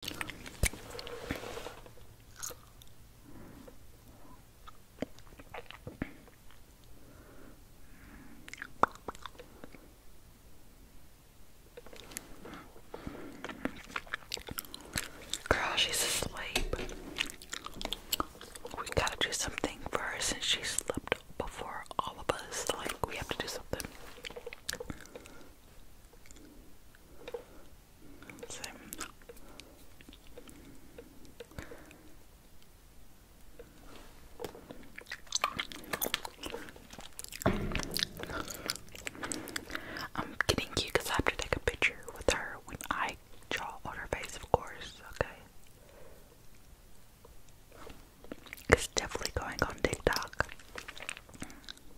Girl, she's asleep. We gotta do something for her since she slept before all of us. Like, we have to do something. I'm getting cute because I have to take a picture with her when I draw on her face, of course, okay? It's definitely going on TikTok.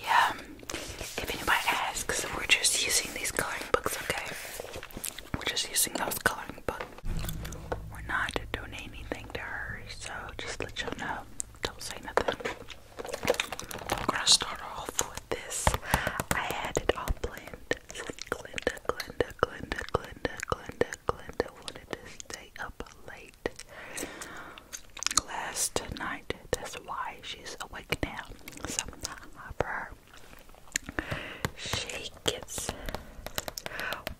Yeah, if anybody asks, we're just using these coloring books, okay? We're just using those coloring books. We're not donating anything to her, so just let y'all know. Don't say nothing. I'm gonna start off with this. I had it all planned. Glinda, Glinda, Glinda, Glinda, Glinda, Glinda wanted to stay up late last night. That's why she's awake now. So, for her, Shake it's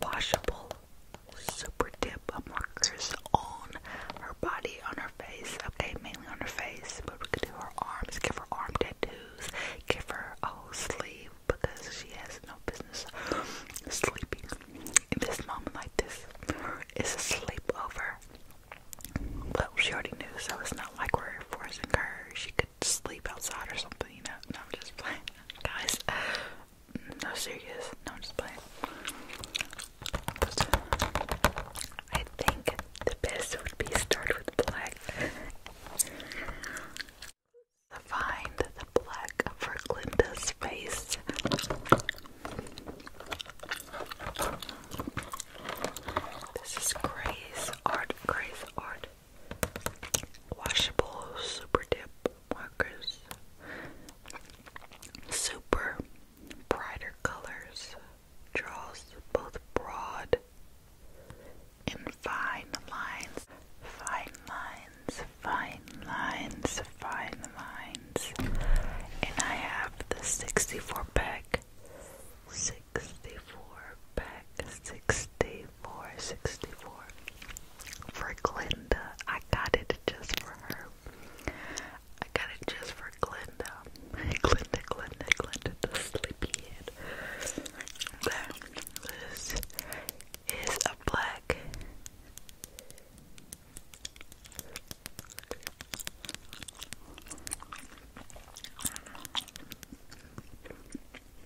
washable super dip markers on her body, on her face. Okay, mainly on her face, but we could do her arms, give her arm tattoos, give her a sleeve because she has no business sleeping in this moment like this. It's a sleepover. Well, she already knew, so it's not like we're forcing her. She could sleep outside or something, clean No, I'm just playing. Guys, no serious. No, I'm just playing. I think the best would be start with black. Find the black for Glinda's face. This is Grace Art. Grace Art washable super dip markers, super brighter colors, draws both broad and fine lines, fine lines, fine lines, fine lines. And I have the 64 pack. Six 64 back 64 64 for Glinda I got it just for her I got it just for Glinda Glinda Glinda Glinda the sleepyhead this is a black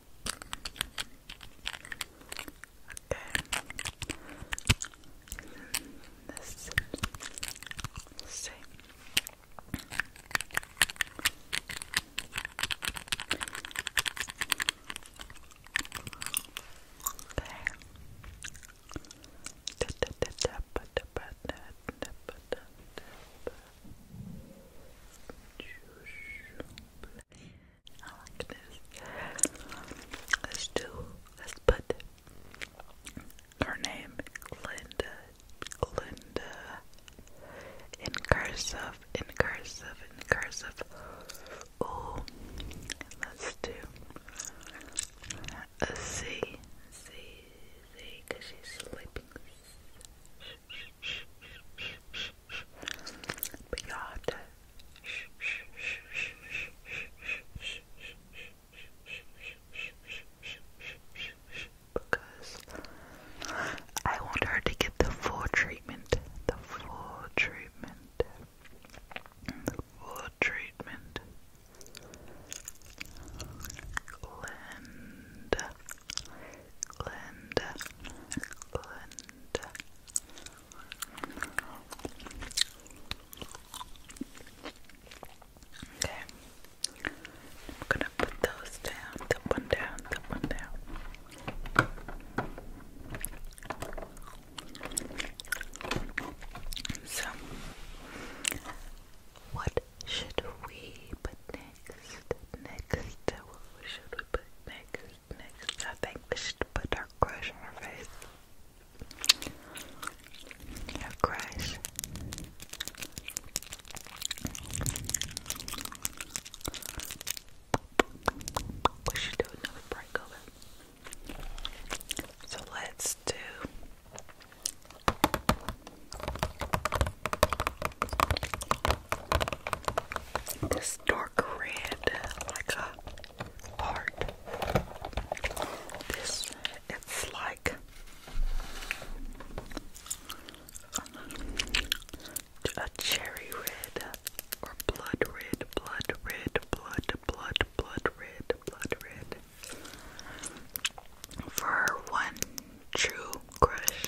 This let's see. There. I like this. Let's do, let's put her name, Glinda, Glinda, in cursive, in cursive, in cursive. Ooh, let's do a C, C, C, because she's sleeping. But you to because I want her to get the full treatment, the full treatment, full treatment. Glenda, Glenda, Glenda, Okay. I'm gonna put those down, the one down, the one down. So, what should we put next? Next, what should we put next? next, I think we should put our crush on her face. Our crush. We should do another breakover. So let's do this dark red, like a heart. This, it's like a cherry red or blood red, blood red, blood, blood, blood red, blood red. For one true crush,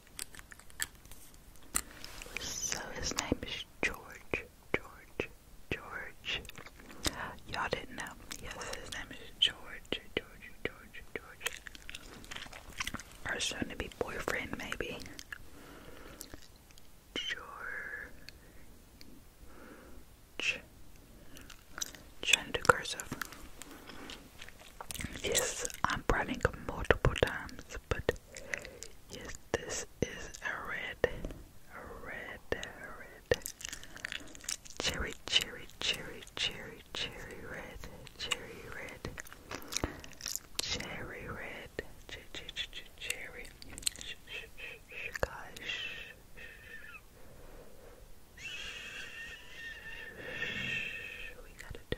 So his name is George. George. George. Y'all didn't know. Yes, his name is George. George. George. George. Or soon to be boyfriend, maybe. George. Trying to do cursive. Yes, I'm writing multiple times, but Yes, this is a red, red, red. Cherry, cherry, cherry, cherry, cherry red, cherry red. Cherry red, ch ch ch ch cherry. Sh sh sh gosh. We gotta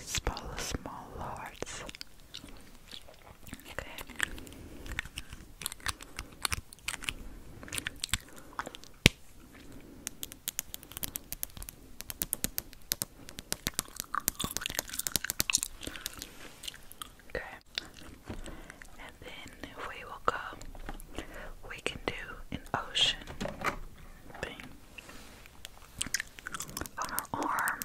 Small, small hearts. Okay. Okay. And then if we will go, we can do an ocean thing on our arm.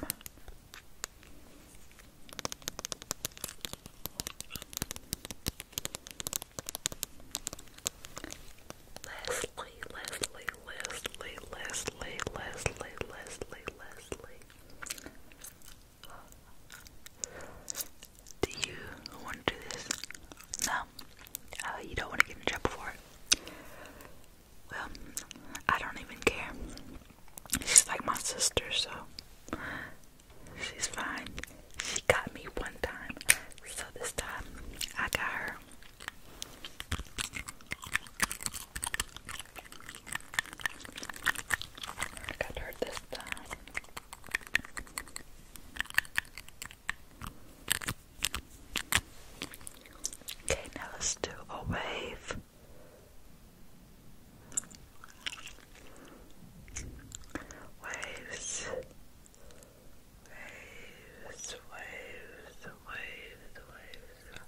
Leslie, Leslie, Leslie, Leslie, Leslie, Leslie, Leslie, Leslie. Do you want to do this? No. Uh, you don't want to get in trouble for it. Well, I don't even care. She's like my sister, so she's fine. She got me one time, so this time I got her. I got her this time. Okay, now let's do a wave. Waves, waves, waves, waves, waves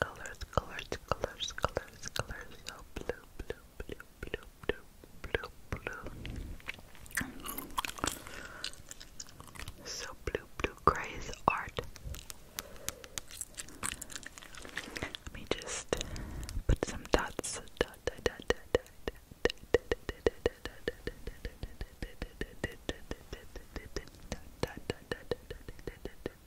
colors, colors, colors, colors, colors. So blue, blue, blue, blue, blue, blue, blue. So blue, blue, gray is art. Let me just put some dots. Okay.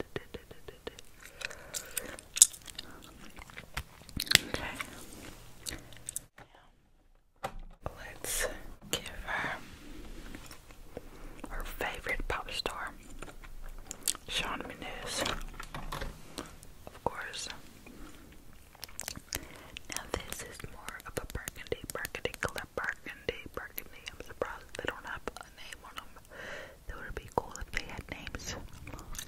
Let's give her her favorite pop star, Sean Mendes, of course. Now this is more of a burgundy, burgundy color and are and burgundy. I'm surprised they don't have a name on them. That would be cool if they had names.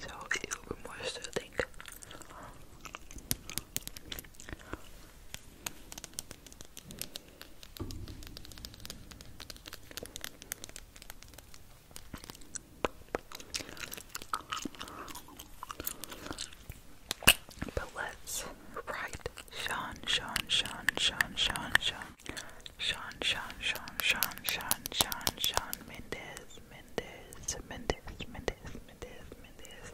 So it would be more soothing. But let's write Sean, Sean, Sean, Sean, Sean, Sean. Sean, Sean, Sean, Sean, Sean, Sean, Sean Mendez, Mendez, Mendez, Mendez, Mendez, Mendez,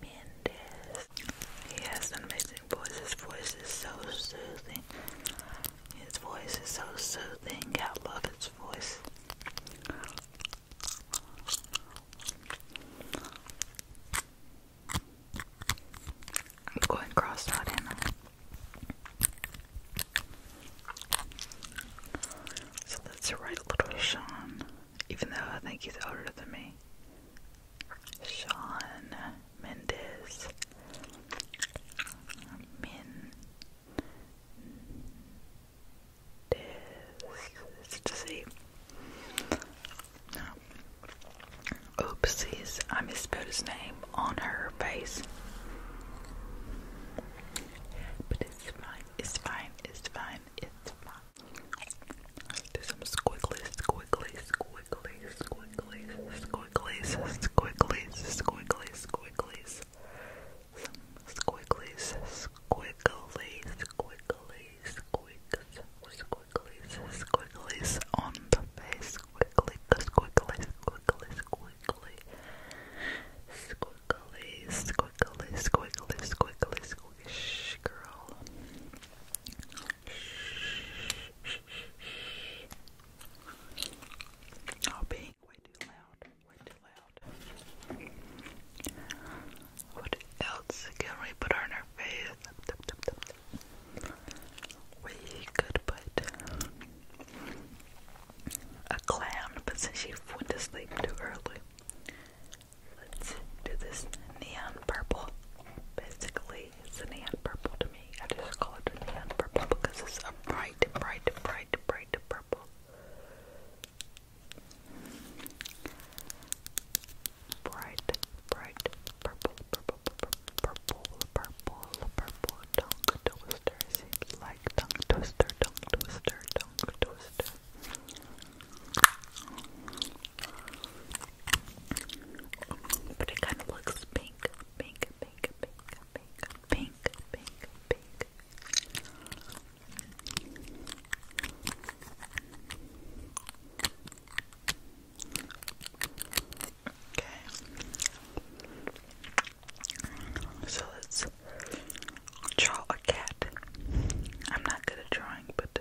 Mendez. He has an amazing voice. His voice is so soothing. His voice is so soothing. I love his voice. I'm cross out in. So let's write little Sean, even though I think he's older than me. Sean Mendes. Mendes. It's just a Oopsies, I misspelled his name on her face. But it's fine, it's fine, it's fine, it's fine. Do some squiggly, squiggly, squiggly, squiggly, squiggly, squiggly, squiggly, squiggly. Some squigglies, squiggly, squiggly, squiggly, squiggly, squiggly, squiggly's, squiggly's on the face. Squiggly, squiggly, squiggly, squiggly. Squiggly, squiggly, squiggly, squiggly, squiggly. Shh, girl. Shh. Oh, being way too loud. Way too loud. What else can we put on our face? we could put a clown, but since she went to sleep too early, let's do this neon purple. Basically, it's neon purple to me. I just call it neon purple because it's a bright, bright, bright, bright purple. Bright, bright, purple, purple, purple, purple, purple tongue twister. Seems like tongue twister, tongue twister, tongue twister. But it kind of looks pink, pink, pink, pink, pink, pink, pink, pink. Okay. So let's draw a cat. I'm not good at drawing, but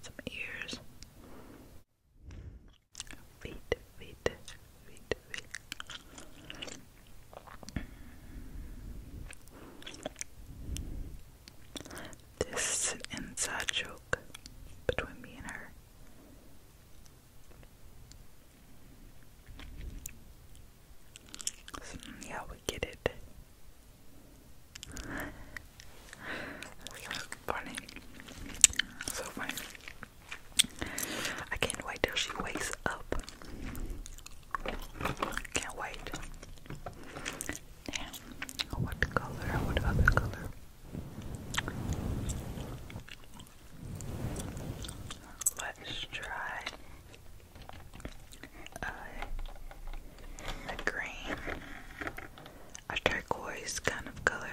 some ears. Feet, feet, feet, feet. This inside joke between me and her. yeah, we get it. so funny. So funny. I can't wait till she wakes up. Can't wait. What color? What other color? Let's try uh, a green, a turquoise kind of color.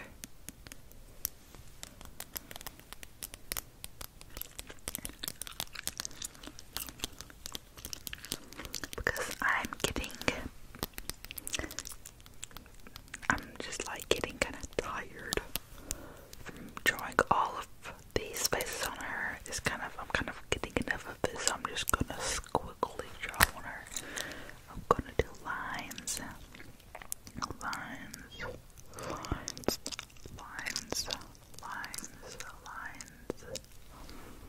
Because I'm getting I'm just like getting kind of tired from drawing all of these faces on her. It's kind of, I'm kind of getting enough of this, so I'm just gonna squiggly draw on her. I'm gonna do lines, lines, lines, lines, lines, lines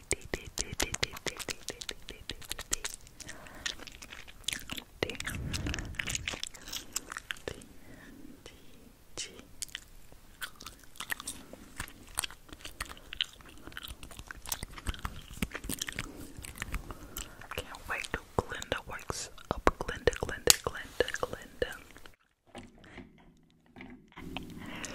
can't wait till Glinda works up. Glinda, Glinda, Glinda, Glinda.